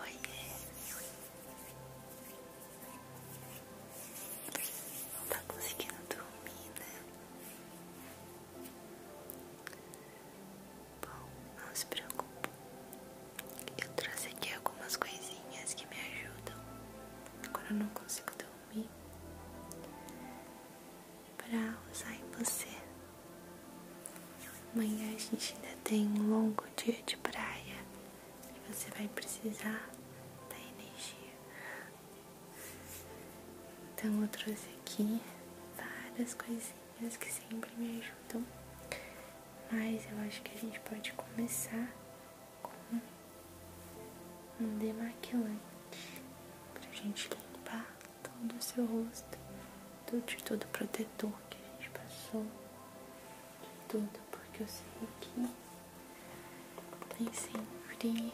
Oiê. Não tá conseguindo dormir, né? Bom, não se preocupe. Eu trouxe aqui algumas coisinhas que me ajudam. Agora eu não consigo dormir para usar em você. Amanhã a gente ainda tem um longo dia de praia e você vai precisar da energia. Então eu trouxe aqui várias coisinhas que sempre me ajudam, mas eu acho que a gente pode começar com um demaquilante pra gente limpar todo o seu rosto, tudo, de todo protetor que a gente passou, de tudo, porque eu sei que nem sempre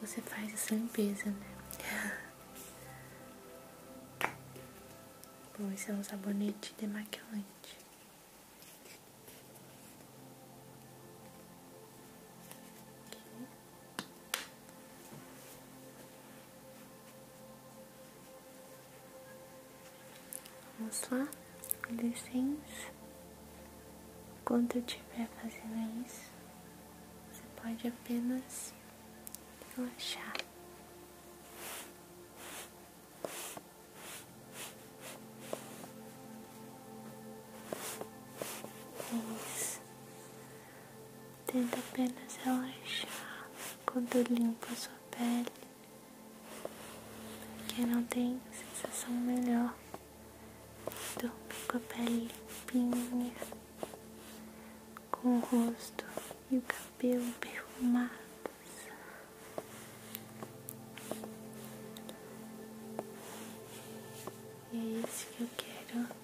você faz essa limpeza, né? Bom, esse é um sabonete demaquilante. Aqui. Vamos lá, licença. Enquanto eu estiver fazendo isso, você pode apenas relaxar. É isso. Tenta apenas relaxar quando limpa sua pele, porque não tem sensação melhor dormir com a pele limpinha, com o rosto e o cabelo perfumados. E é isso que eu quero.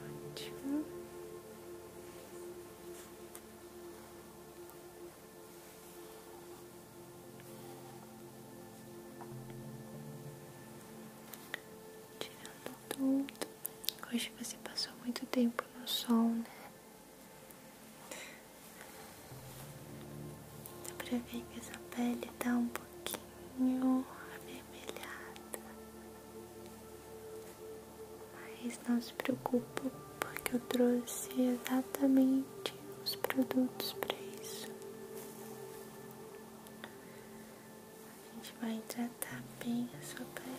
Ótimo. Tirando tudo. Hoje você passou muito tempo no sol, né? Dá pra ver que essa pele tá um pouquinho avermelhada. Mas não se preocupe porque eu trouxe exatamente os produtos pra isso. A gente vai tratar bem a sua pele.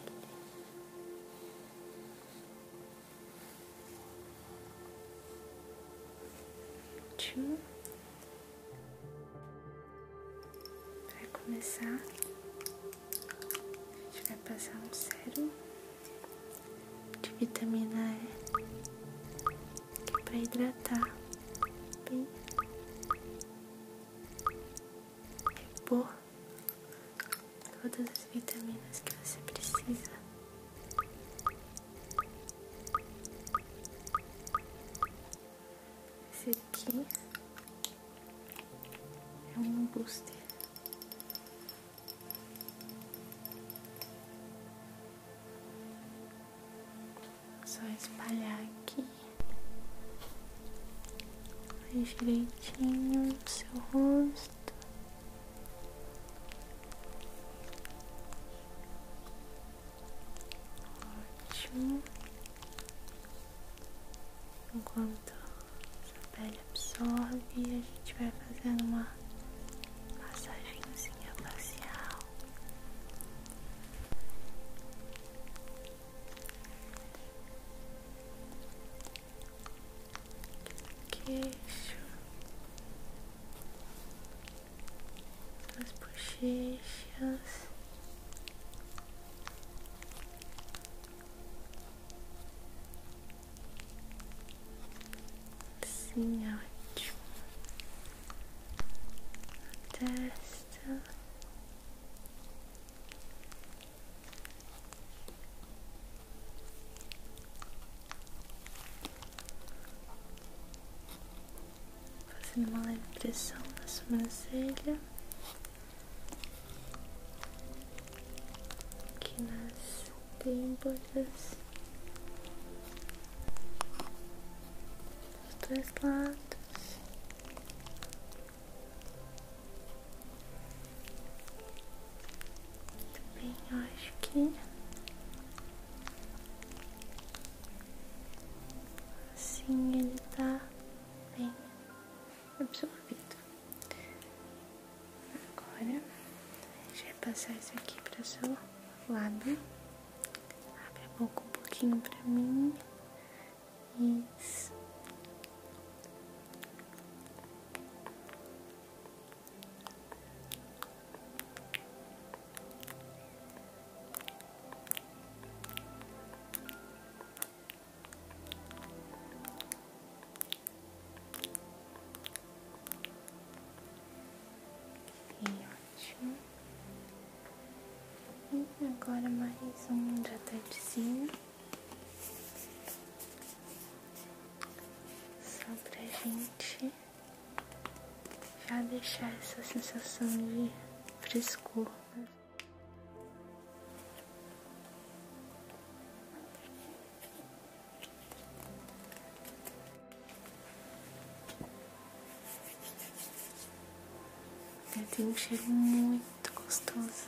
Ótimo. Para começar, a gente vai passar um sérum de vitamina E é para hidratar bem, repor é todas as vitaminas que você precisa. Esse aqui é um booster. Só espalhar aqui direitinho no seu rosto. Ótimo. Enquanto essa pele absorve, a gente vai fazendo uma massagenzinha facial queixo, as bochechas. Sim, ótimo. A testa. Fazendo uma leve pressão na sobrancelha, aqui nas têmporas, dos dois lados. Muito bem, eu acho que assim ele tá bem absorvido. Agora a gente vai passar isso aqui para seu lado Abre a boca um pouquinho para mim. Isso. E ótimo. E agora mais um de hidratantezinho. Só pra gente já deixar essa sensação de frescor. Né? Tem um cheiro muito gostoso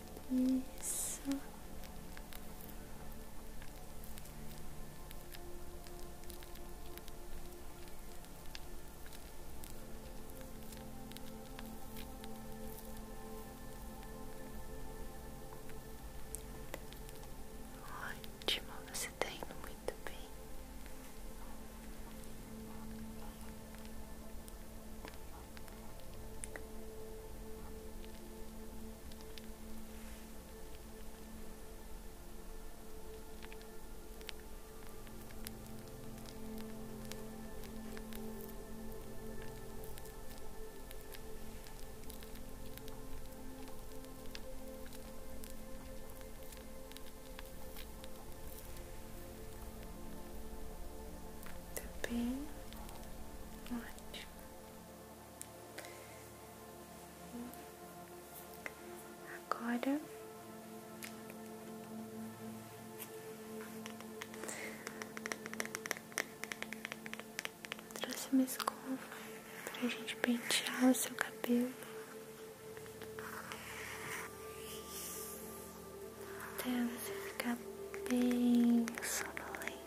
Isso. Ótimo, você tá indo muito bem. Tá bem ótimo. Agora trouxe uma escova pra gente pentear o seu cabelo até você ficar bem sonolento.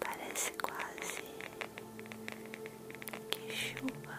Parece quase que chuva.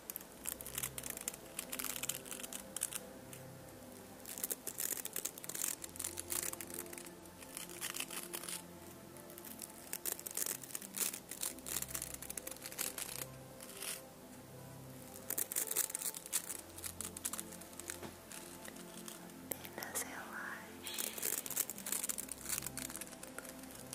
Apenas relaxe.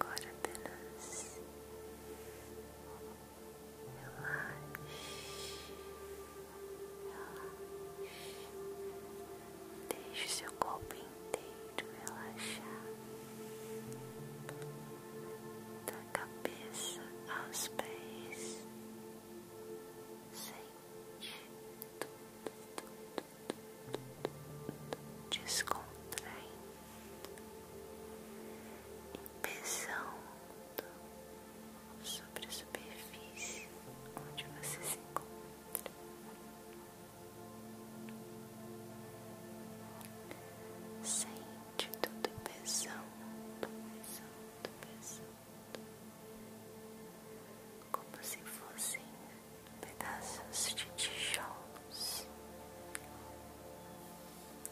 Agora apenas relaxa relaxe, deixe seu corpo inteiro relaxar, da cabeça aos pés sente tudo descontraindo e pesando sobre a superfície onde você se encontra. Sente tudo pesando, pesando, pesando como se fossem pedaços de tijolos.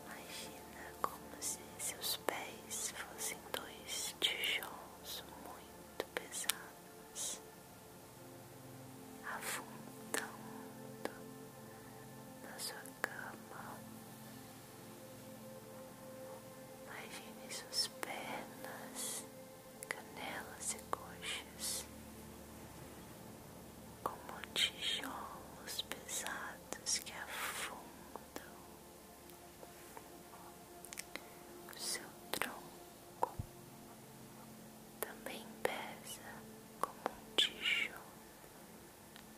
Imagina como se seus pés fossem dois tijolos muito pesados, afundando na sua cama Imagine suas pernas, canelas e coxas como tijolos pesados que afundam seu tronco. Também pesa como um tijolo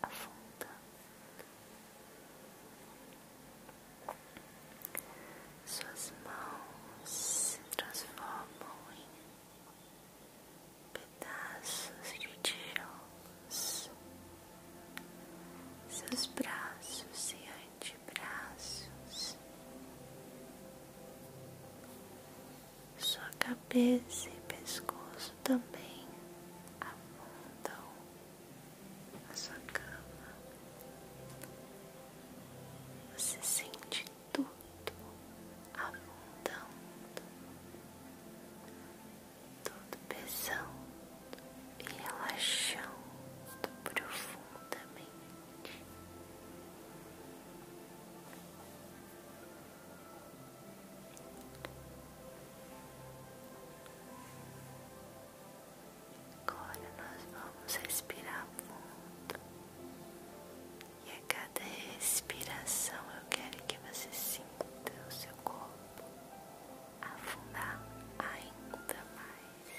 afunda. Suas mãos se transformam em pedaços de tijolos. Seus braços e antebraços. Sua cabeça e pescoço também afundam sua cama. Você sente tudo abundando, todo pesando e relaxando profundamente. Agora nós vamos respirar fundo. E a cada respiração eu quero que você sinta o seu corpo afundar ainda mais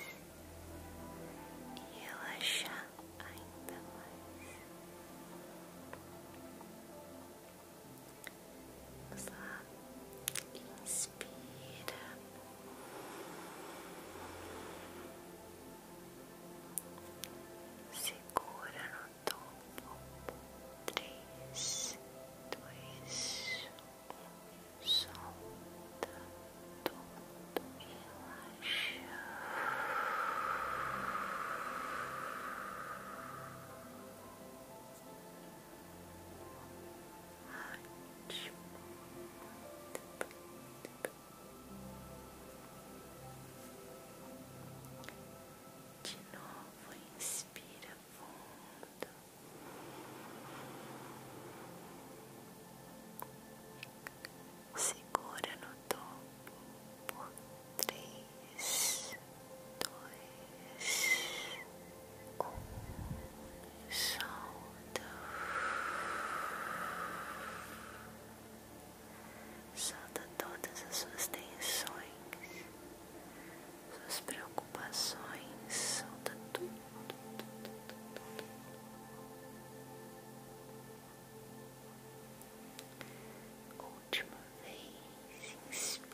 e relaxar ainda mais. Vamos Inspira. Segura no topo. Três, dois, Solta tudo. Relaxa. Relaxa. De novo, inspira fundo. Segura no topo por três, dois, um, solta, todas as suas tensões, suas preocupações, solta tudo. tudo, tudo, tudo. Última vez, inspira.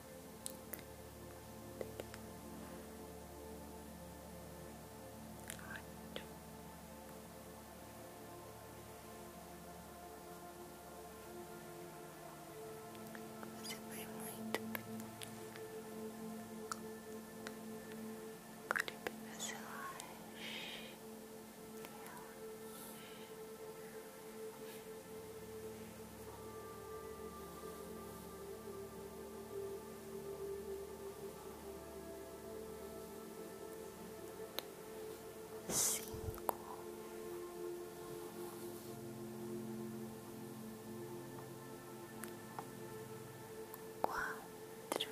Ótimo. Você foi muito bem. Agora eu pego essa laje. Relaxa cinco, quatro,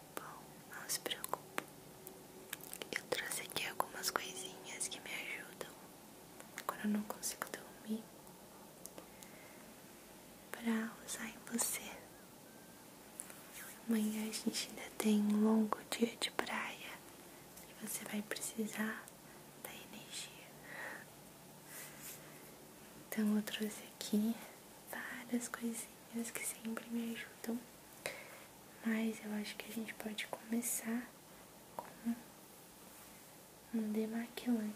Bom, não se preocupe. Eu trouxe aqui algumas coisinhas que me ajudam quando eu não consigo dormir para usar em você. Amanhã a gente ainda tem um longo dia de praia e você vai precisar da energia. Então eu trouxe aqui várias coisinhas que sempre me ajudam. Mas eu acho que a gente pode começar com um demaquilante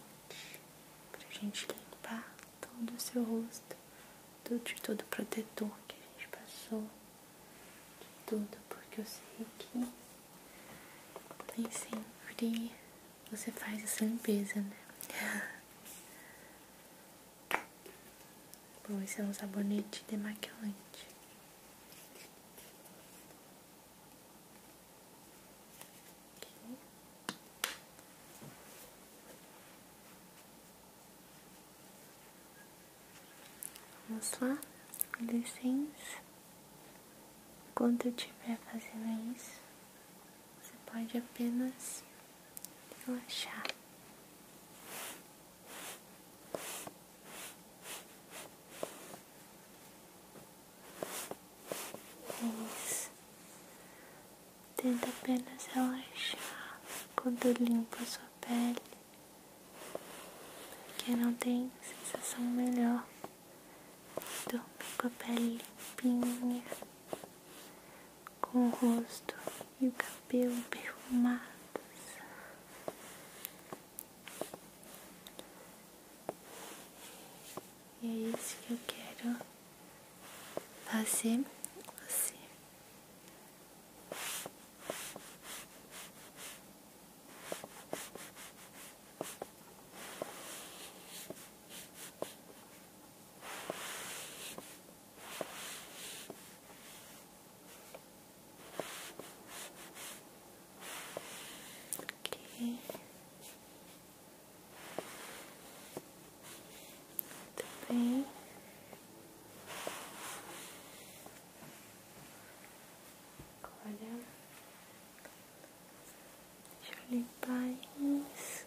pra gente limpar todo o seu rosto, de todo protetor que a gente passou, de tudo, porque eu sei que nem sempre você faz essa limpeza, né? Bom, esse é um sabonete demaquilante. Vamos lá, licença. Enquanto eu estiver fazendo isso, você pode apenas relaxar. Isso. Tenta apenas relaxar quando limpa sua pele, porque não tem sensação melhor dormir com a pele limpinha, com o rosto e o cabelo perfumado. E é isso que eu quero fazer assim Aqui. Também. Olha. Deixa limpar isso.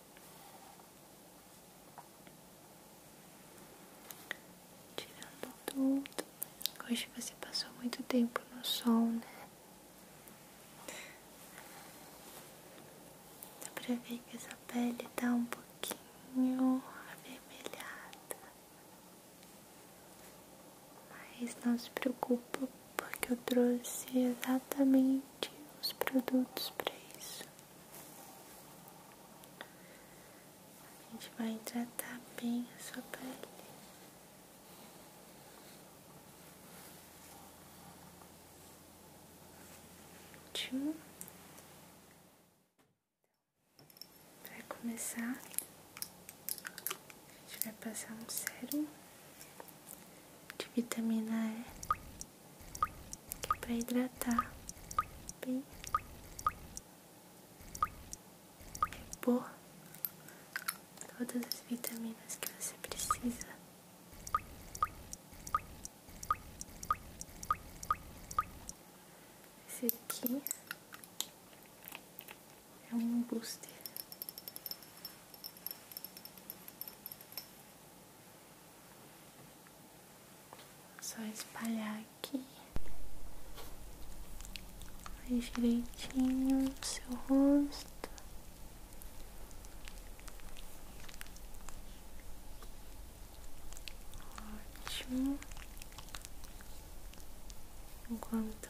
Tirando tudo. Hoje você passou muito tempo no sol, né? Dá pra ver que essa pele tá um pouquinho avermelhada. Mas não se preocupa porque eu trouxe exatamente os produtos para isso. A gente vai hidratar bem a sua pele. Ótimo. Para começar, a gente vai passar um sérum de vitamina E para hidratar, bem repor todas as vitaminas que você precisa. Esse aqui é um booster. Só espalhar aqui mais direitinho no seu rosto. Ótimo. Enquanto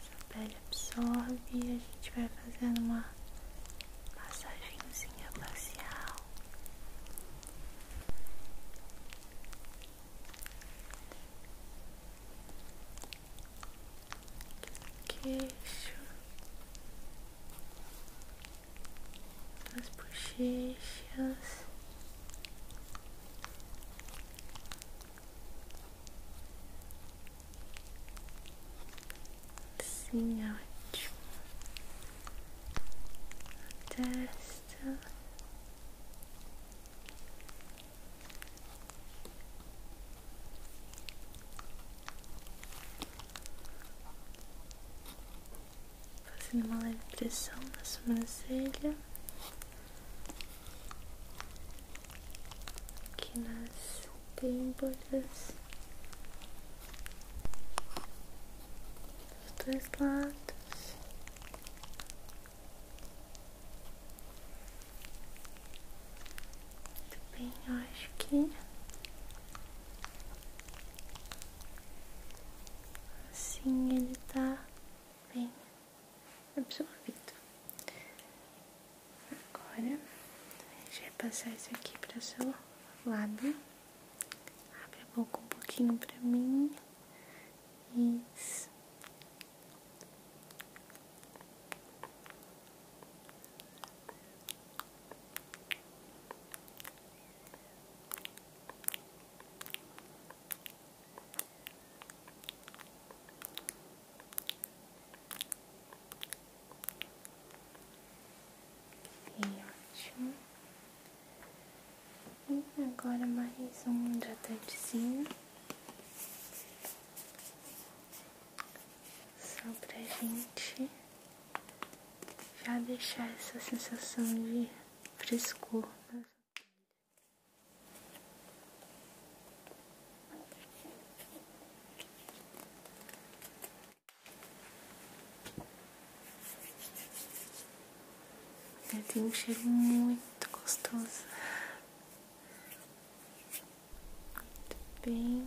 essa pele absorve, a gente vai fazendo uma massagenzinha facial. Queixo, as bochechas. Sim, é ótimo. testa. Fazendo uma leve pressão nas sobrancelha. Aqui nas tem pêmboras dos dois lados. Muito bem, acho que assim ele tá bem absorvido. Agora, a gente vai passar isso aqui para seu lado Abre a boca um pouquinho para mim. e Ok, ótimo. E agora mais um hidratantezinho. Só pra gente já deixar essa sensação de frescor ela tem um cheiro muito gostoso. Muito bem.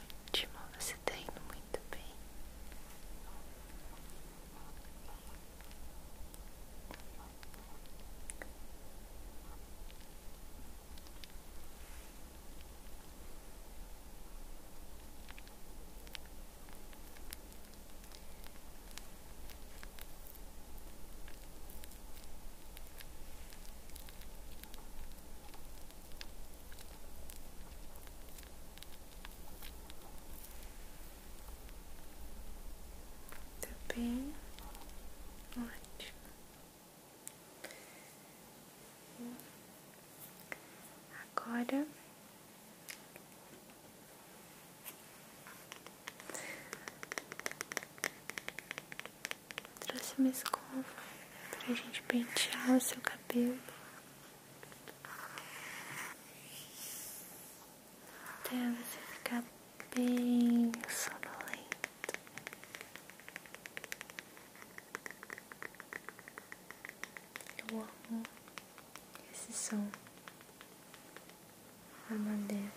ótimo, você tá indo muito bem. Tá bem, ótimo. Agora Trouxe uma escova pra gente pentear o seu cabelo. Até você ficar bem sonolento. Eu amo esse som da madeira.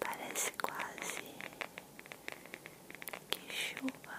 Parece quase que chuva.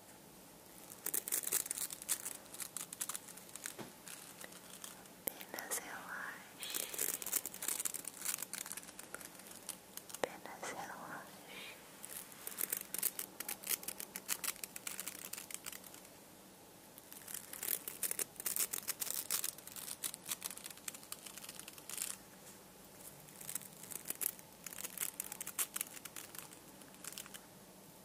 pena relaxe, apenas pena Apenas relaxe,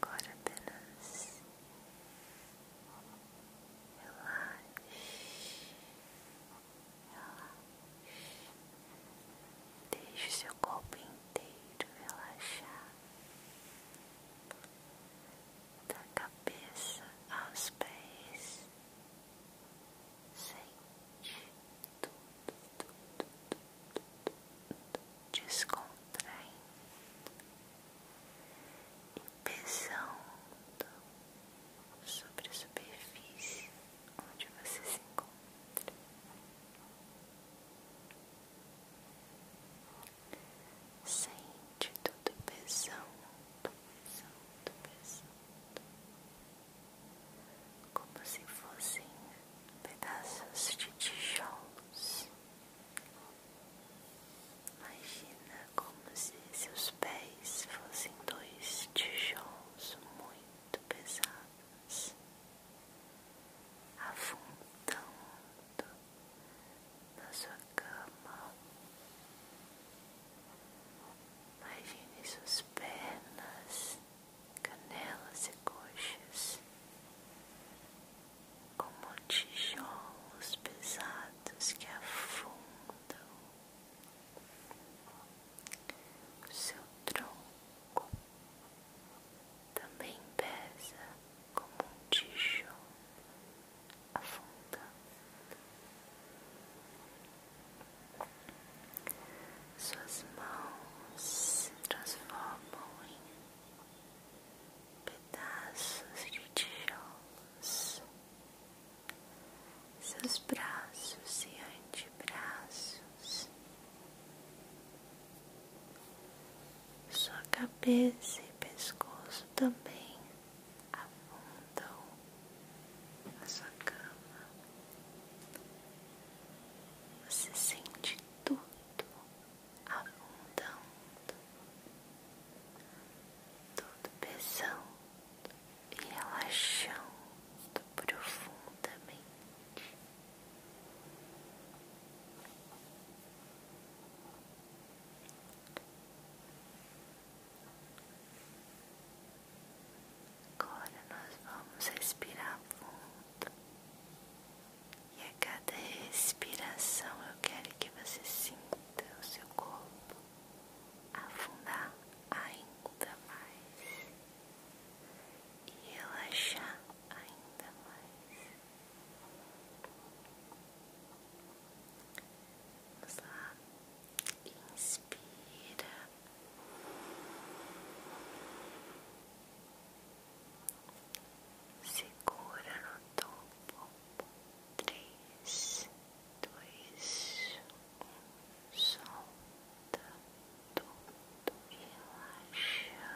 Agora apenas relaxe deixe seu corpo inteiro relaxar, da cabeça aos pés, sente tudo, tudo, tudo, tudo descontraindo e pesando sobre a superfície onde você se encontra. Sente tudo pesando, pesando, pesando, como se fossem pedaços de tijolos. Imagina como se seus pés fossem dois tijolos muito muito pesadas, afundando na sua cama. Imagine suas pernas, canelas e coxas como tijolos pesados que afundam seu tronco também pesa como um tijolo afundando. Suas mãos se transformam em pedaços de tijolos seus braços e antebraços, sua cabeça e pescoço também afundam na sua cama. Você sente tudo afundando, tudo pesando e relaxando profundamente. Agora nós vamos respirar fundo. E a cada respiração eu quero que você sinta o seu corpo afundar ainda mais e relaxar ainda mais. Vamos lá, inspira. Segura no topo. Três, dois, solta tudo, relaxa.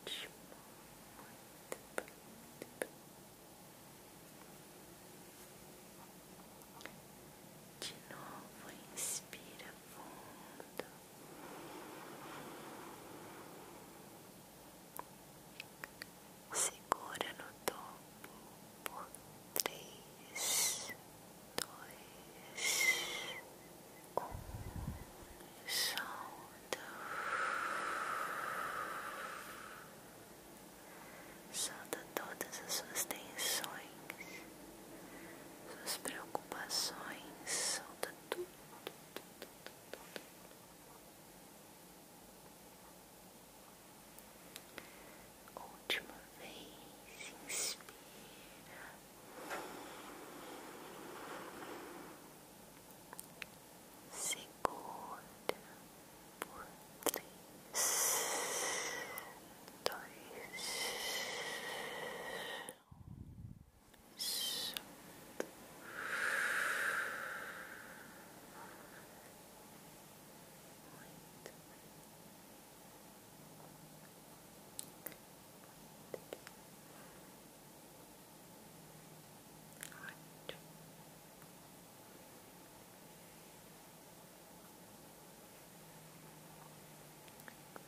Ótimo, De novo, inspira fundo segura no topo por três, dois, um, solta, solta todas as suas tensões, suas preocupações, solta tudo. tudo. Última vez, inspira segunda por três, dois, solto. Muito Ótimo.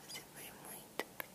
Você foi muito bem.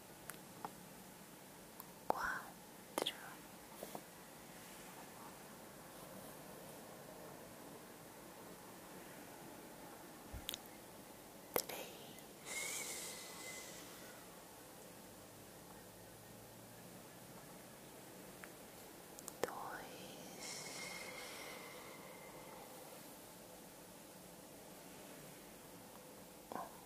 quatro, três, dois. Um.